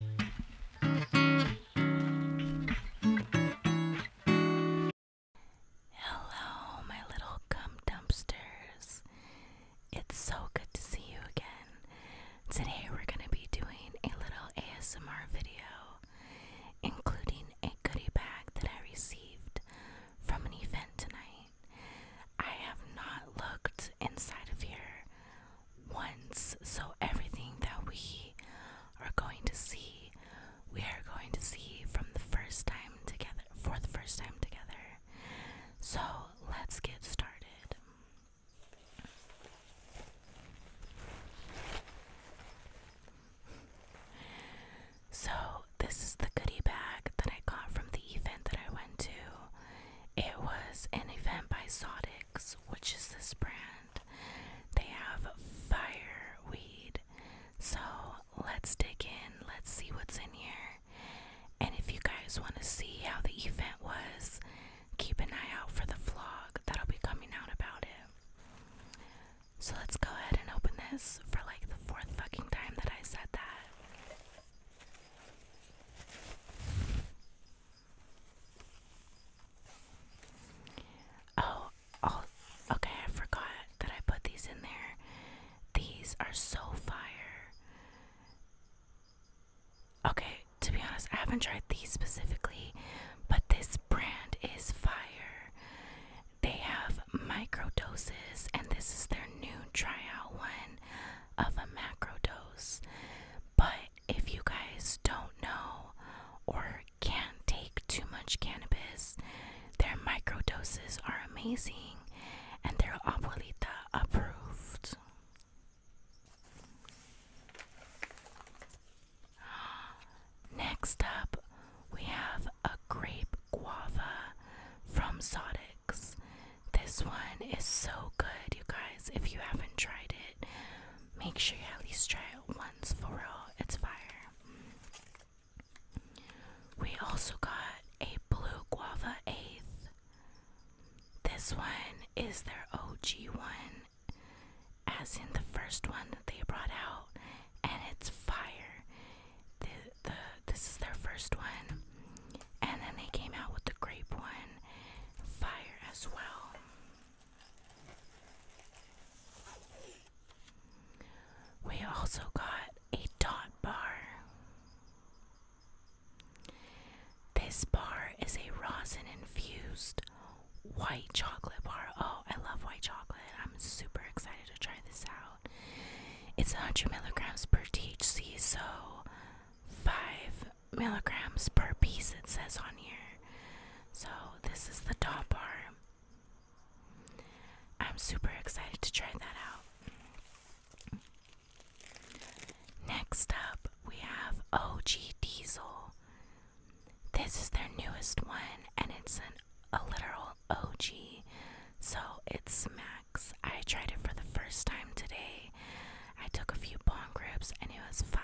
Hello, my little cum dumpsters. It's so good to see you again. Today we're going to be doing a little ASMR video, including a goodie bag that I received from an event tonight. I have not looked inside of here once. So everything that we are going to see, we are going to see from the first time together, for the first time together. So let's get started. So, this is the goodie bag that I got from the event that I went to. It was an event by Sodix, which is this brand. They have fire weed, So let's dig in, let's see what's in here. And if you guys want to see how the event was, keep an eye out for the vlog that'll be coming out about it. So let's go ahead and open this for like the fourth fucking time that I said that. Oh, oh, okay, I forgot that I put these in there. These are so fire. Okay, to be honest, I haven't tried these specifically, but this brand is fire. They have micro doses, and this is their new tryout one of a macro dose. But if you guys don't know or can't take too much cannabis, their micro doses are amazing and they're abuelita approved. Next up, we have a grape guava from Sodix. This one is so good, you guys. If you haven't tried it, make sure you at least try it once for real. It's fire. We also got a blue guava eighth. This one is their OG one, as in the first one that they brought out, and it's fire. The, the, this is their first one. And then they came out with the grape one, fire as well. We also got a dot bar. This bar is a rosin infused white chocolate bar. Oh, I love white chocolate. I'm super excited to try this out. It's 100 milligrams per THC, so five milligrams per piece, it says on here. So, this is the top bar. I'm super excited to try that out. Next up, we have OG Diesel. This is their newest one, and it's an, a literal OG so it's Max. I tried it for the first time today. I took a few bong grips and it was fire.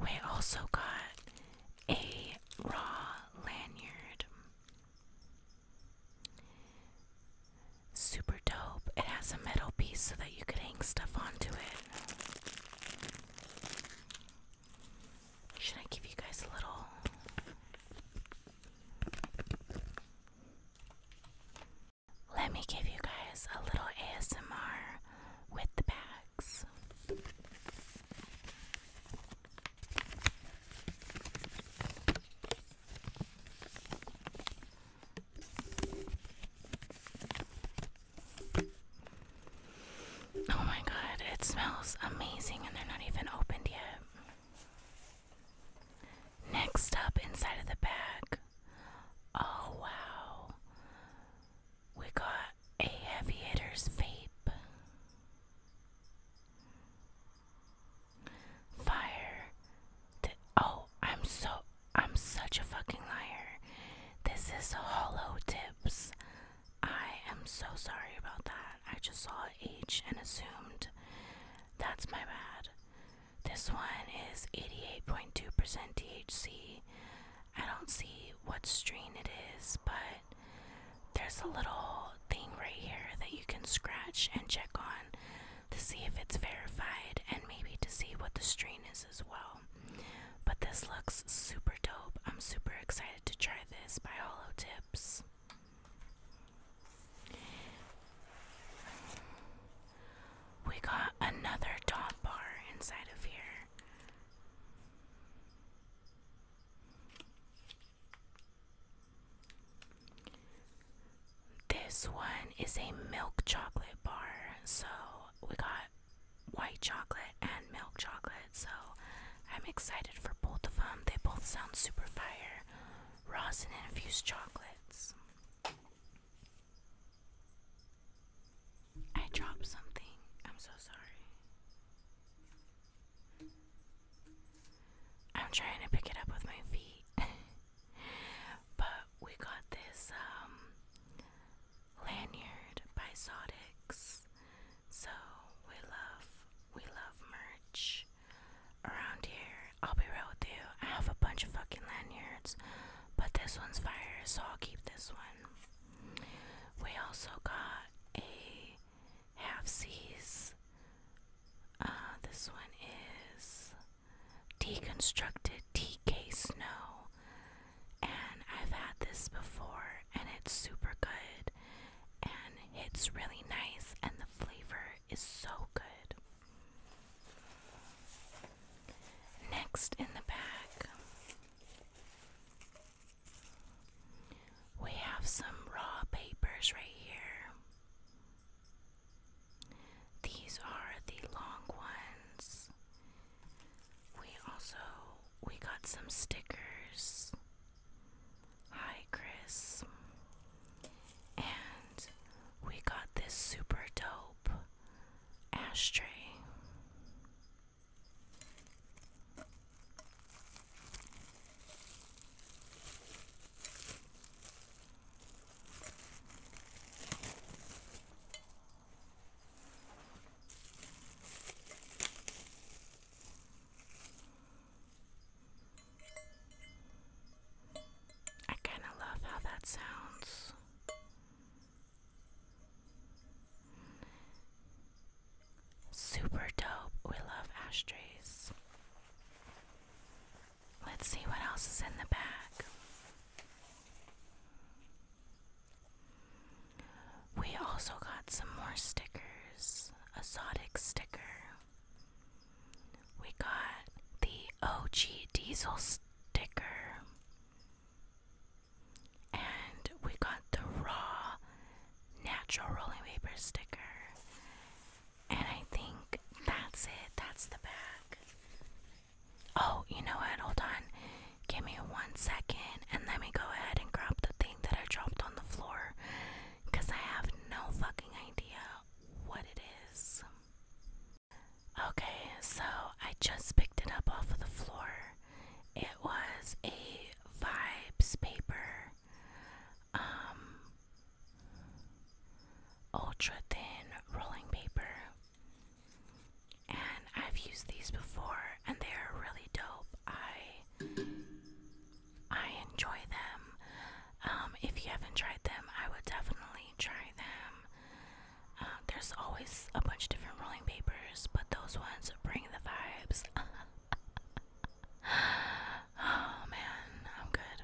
We also got a raw lanyard. Super dope. It has a metal piece so that you could hang stuff onto it. Should I give you guys a little? Let me give you guys a little ASMR with the bags. Oh my god, it smells amazing and they're not even opened yet. Next up, inside of the bag, oh wow, we got a heavy hitter's vape, fire. Th oh, I'm so I'm such a fucking liar. This is hollow tips I am so sorry about that. I just saw H and assumed that's my bad. This one is 88.2% THC. I don't see what strain it is, but there's a little thing right here that you can scratch and check on to see if it's verified and maybe to see what the strain is as well. But this looks super dope. I'm super excited to try this by Hollow Tips. We got another dot bar inside of here. This one is a milk chocolate bar, so we got white chocolate and milk chocolate so I'm excited for both of them. They both sound super fire. Rosin infused chocolates. I dropped something. I'm so sorry. I'm trying to pick it up with my feet. but we got this um lanyard by Sodix. So we love we love merch around here. I'll be real with you. I have a bunch of fucking lanyards, but this one's fire, so I'll keep this one. We also got a half seas. Uh, this one is deconstructed TK Snow, and I've had this before, and it's super good and it's really nice and the flavor is so good. Next in the bag, we have some raw papers right here. These are the long ones. We also we got some stickers. Hi Chris. And we got this super dope ashtray. I kind of love how that sounds. Super dope. We love ashtrays. Let's see what else is in the bag. We also got some more stickers. Exotic sticker. We got the OG Diesel sticker. And we got the raw natural rolling paper sticker. And I think that's it. That's the bag. Oh, you know what? Hold on. Give me one second and let me go ahead and grab the thing that I dropped on the floor because I have no fucking idea what it is. Okay, so I just picked it up off of the floor. It was a vibes paper, um, ultra thin rolling paper and I've used these before and they are really dope. I I enjoy them. Um, if you haven't tried them, I would definitely try them. Uh, there's always a bunch of different rolling papers, but those ones bring the vibes. oh man, I'm good.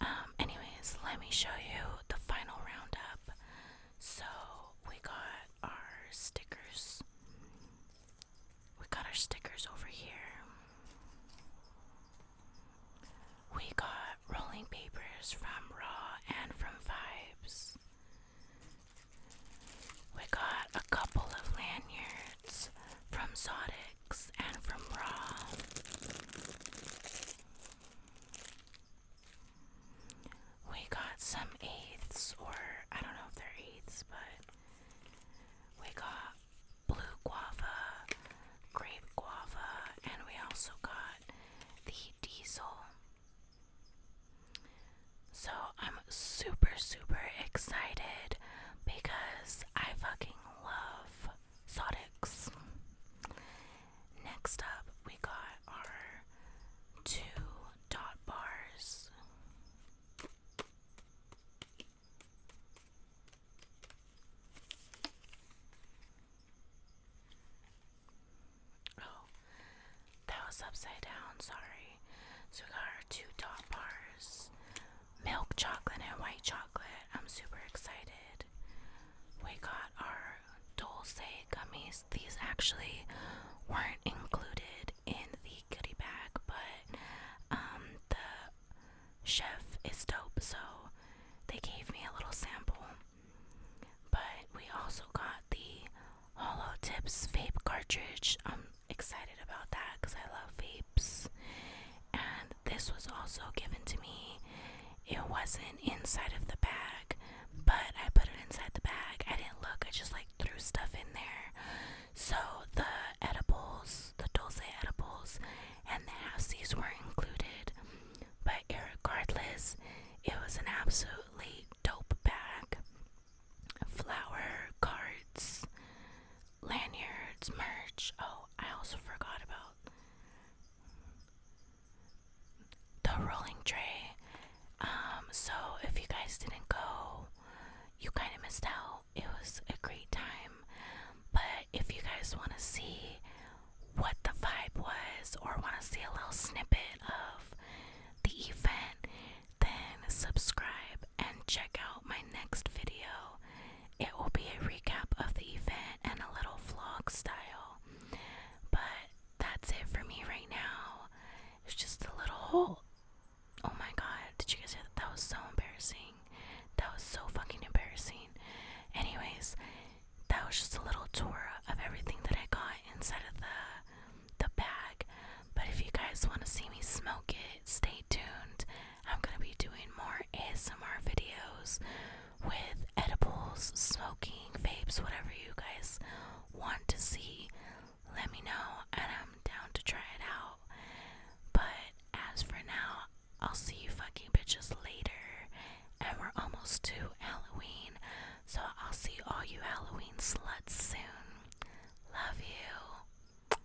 Um, anyways, let me show you the final roundup. So we got our stickers. We got our stickers over here. We got rolling papers from Raw and from Vibes. We got a couple of lanyards from Zodix and from Raw. We got some eighths, or I don't know if they're eighths, but we got blue guava, grape guava, and we also got the diesel. So I'm super, super excited because I fucking love Sodix. Next up, we got our two dot bars. Oh, that was upside down, sorry. So we got our two dot bars milk chocolate and white chocolate. I'm super excited we got our Dolce gummies. These actually weren't included in the goodie bag, but um, the chef is dope, so they gave me a little sample. But we also got the Holo Tips vape cartridge. I'm excited about that because I love vapes. And this was also given to me it wasn't inside of the bag, but I put it inside the bag. I didn't look, I just like threw stuff in there. So the edibles, the dulce edibles, and the halfsies were included. But regardless, it was an absolutely dope bag. Flower, cards, lanyards, merch. Oh, I also forgot about the rolling tray. Um, so if you guys didn't go, you kind of missed out. It was a great time. But if you guys want to see what the vibe was or want to see a little snippet of the event, then subscribe and check out my next video. It will be a recap of the event and a little vlog style. But that's it for me right now. It's just a little hole. Oh my god, did you guys hear that? That was so embarrassing. That was so fucking embarrassing. Anyways, that was just a little tour of everything that I got inside of the the bag. But if you guys want to see me smoke it, stay tuned. I'm gonna be doing more ASMR videos with edibles, smoking, vapes, whatever you guys want to see, let me know and I'm down to try it out. But as for now, I'll see you fucking bitches later. And we're almost to Halloween, so I'll see all you Halloween sluts soon. Love you.